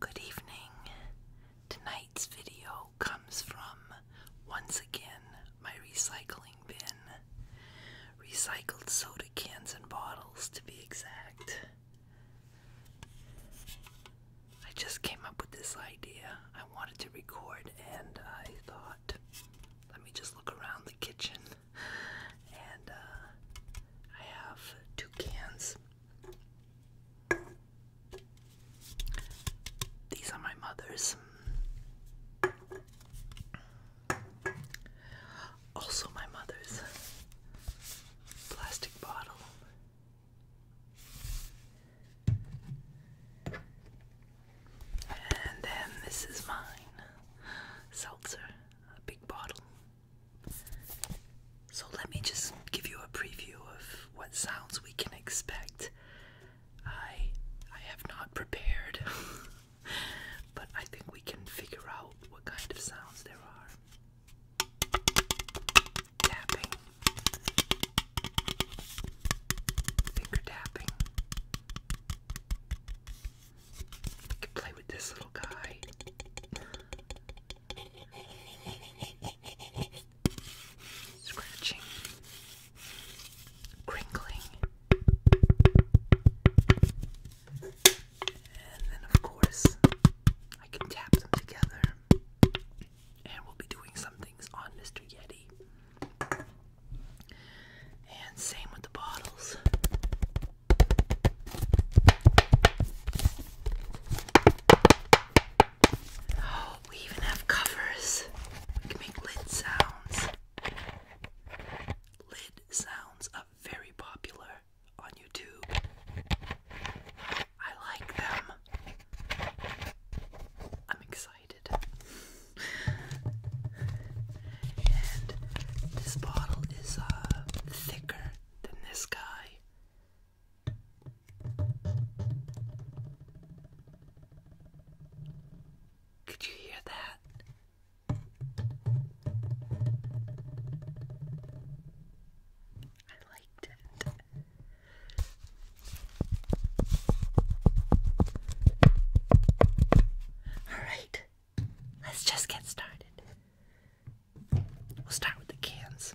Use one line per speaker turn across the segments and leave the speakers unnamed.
Good evening. Tonight's video comes from, once again, my recycling bin. Recycled soda cans and bottles, to be exact. I just came up with this idea. I wanted to record, and I thought, let me just look around the kitchen. And uh, I have two cans these are my mother's. Also, my mother's plastic bottle. And then this is mine seltzer, a big bottle. So, let me just give you a preview of what sounds we can expect. I I have not prepared, but I think we can figure out what kind of sounds there are. finger tapping. We can play with this little guy. Scratching, crinkling, and then, of course, I can tap them together, and we'll be doing some things on Mr. Yeti. And same with the bottles. Oh, we even have covers. We can make lid sounds. Lid sounds are very popular on YouTube. I like them. I'm excited. and this bottle is uh, thicker than this guy. Could you hear that? I liked it. All right, let's just get started. We'll start with the cans.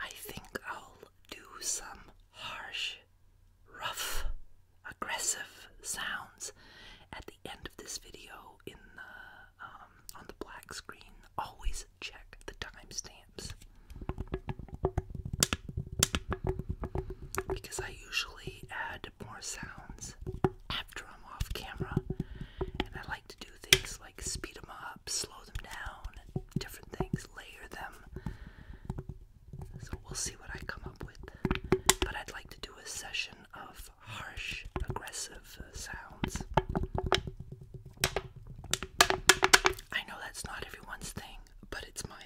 I think I'll do some harsh rough, aggressive sounds at the end of this video in the um, on the black screen. Always check the timestamps because I usually add more sounds after I'm off camera, and I like to do things like speed them up, slow them down, different things, layer them. So we'll see what I come up with. But I'd like to do a session of harsh, aggressive uh, sounds. I know that's not everyone's thing, but it's my thing.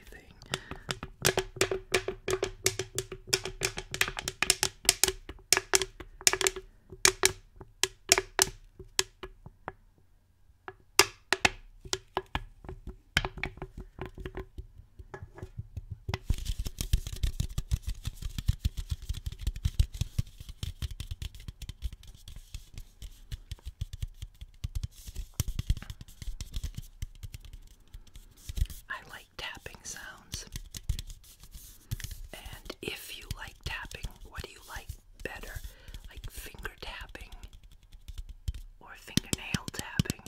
I like tapping sounds. And if you like tapping, what do you like better, like finger tapping or fingernail tapping.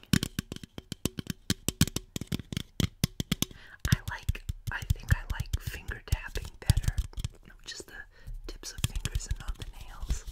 I like, I think I like finger tapping better. You just the tips of fingers and not the nails.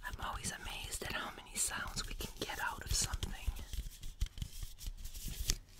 I'm always amazed at how many sounds we can get
out of something.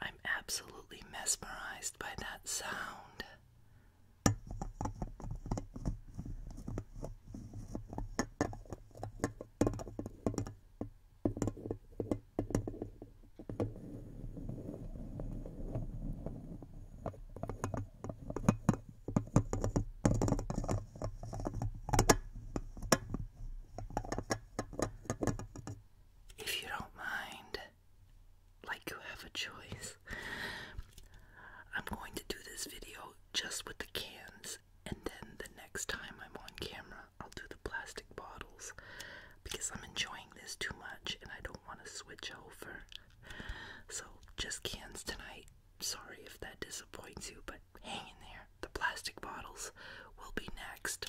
I'm absolutely mesmerized by that sound. If you don't mind, like you have a choice. I'm going to do this video just with the cans, and then the next time I'm on camera, I'll do the plastic bottles because I'm enjoying this too much and I don't want to switch over. So, just cans tonight. Sorry if that disappoints you, but hang in there. The plastic bottles will be next.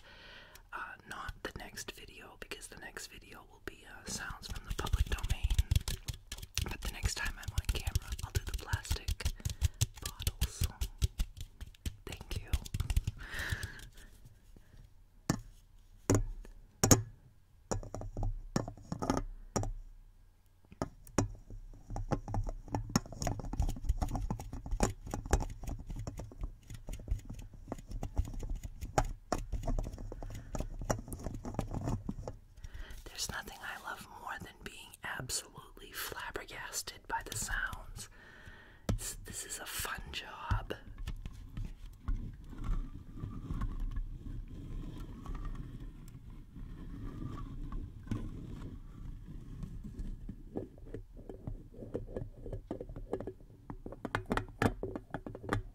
Uh, not the next video because the next video will be uh, sounds from the public domain. But the next time I'm on camera, I'll do the plastic bottles. Thank you. There's nothing I love more than being absolutely flabbergasted by the sounds. this is a fun job.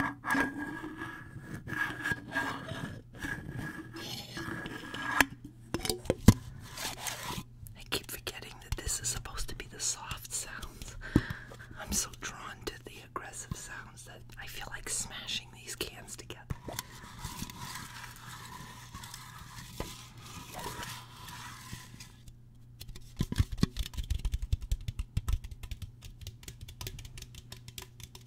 I keep
forgetting that this is supposed to be the soft sounds. I'm so drawn to the aggressive sounds that I feel like smashing these cans together.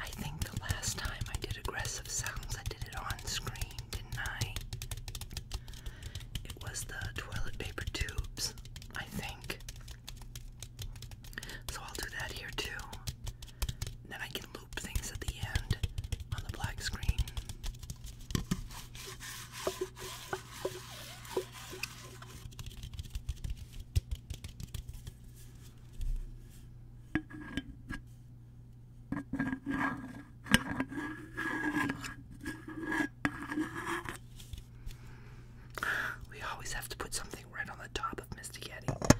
I think the last time I did aggressive sounds, I did it on screen, didn't I? It was the toilet paper tubes, I think. So I'll do that here too. Then I can loop things at the end on the black screen. We always have to put something right on the top of Mr. Yeti.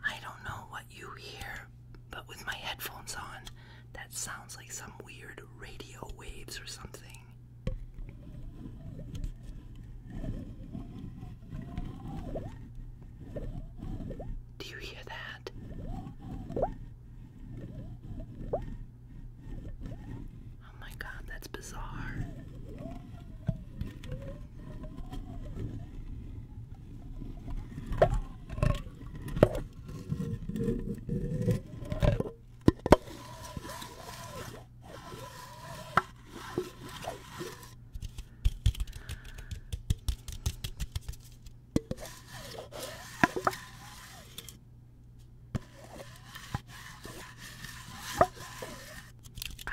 I don't know what you hear, but with my headphones on, that sounds like some weird radio waves or something. Do you hear that? Oh my god, that's bizarre. I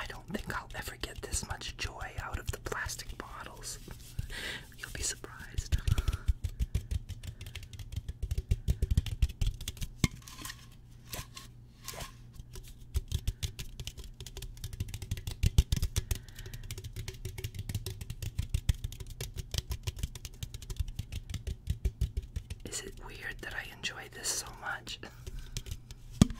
don't think I'll ever get this much joy out of the plastic bottles. You'll be surprised. Is it weird that I enjoy this so much?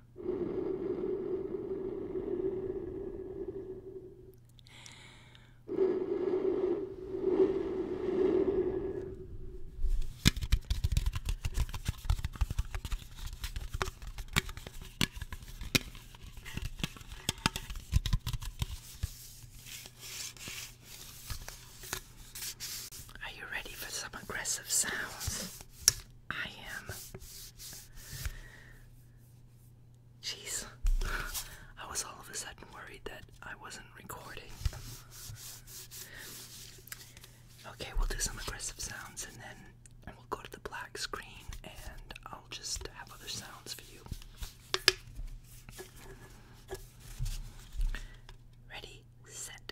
Are you ready for some aggressive sounds? I am.
Jeez. I was all of a sudden worried that I wasn't recording.
Okay, we'll do some aggressive sounds and then we'll go to the black screen and I'll just have other sounds for you. Ready, set,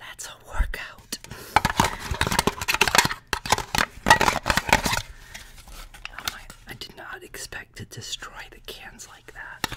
That's a workout. Oh my, I did not expect to destroy the cans like that.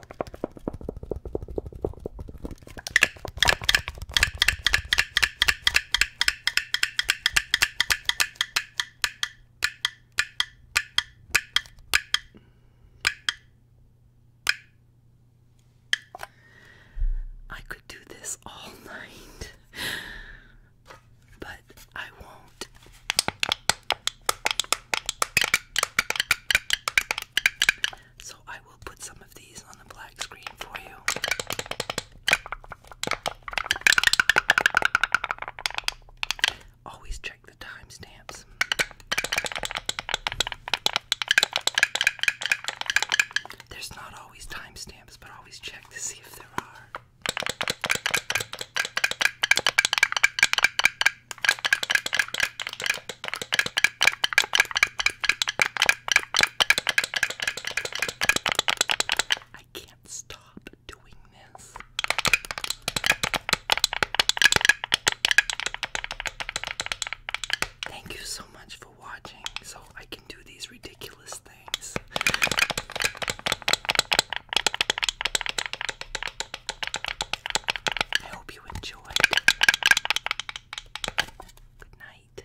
I could do this all night, but I won't. So I will put some of these on the black screen for you. Always check the timestamps. There's not always timestamps, but always check to see if there are. I can't stop doing this. Thank you so much for watching so I can do these ridiculous things. I hope you enjoyed. Good night.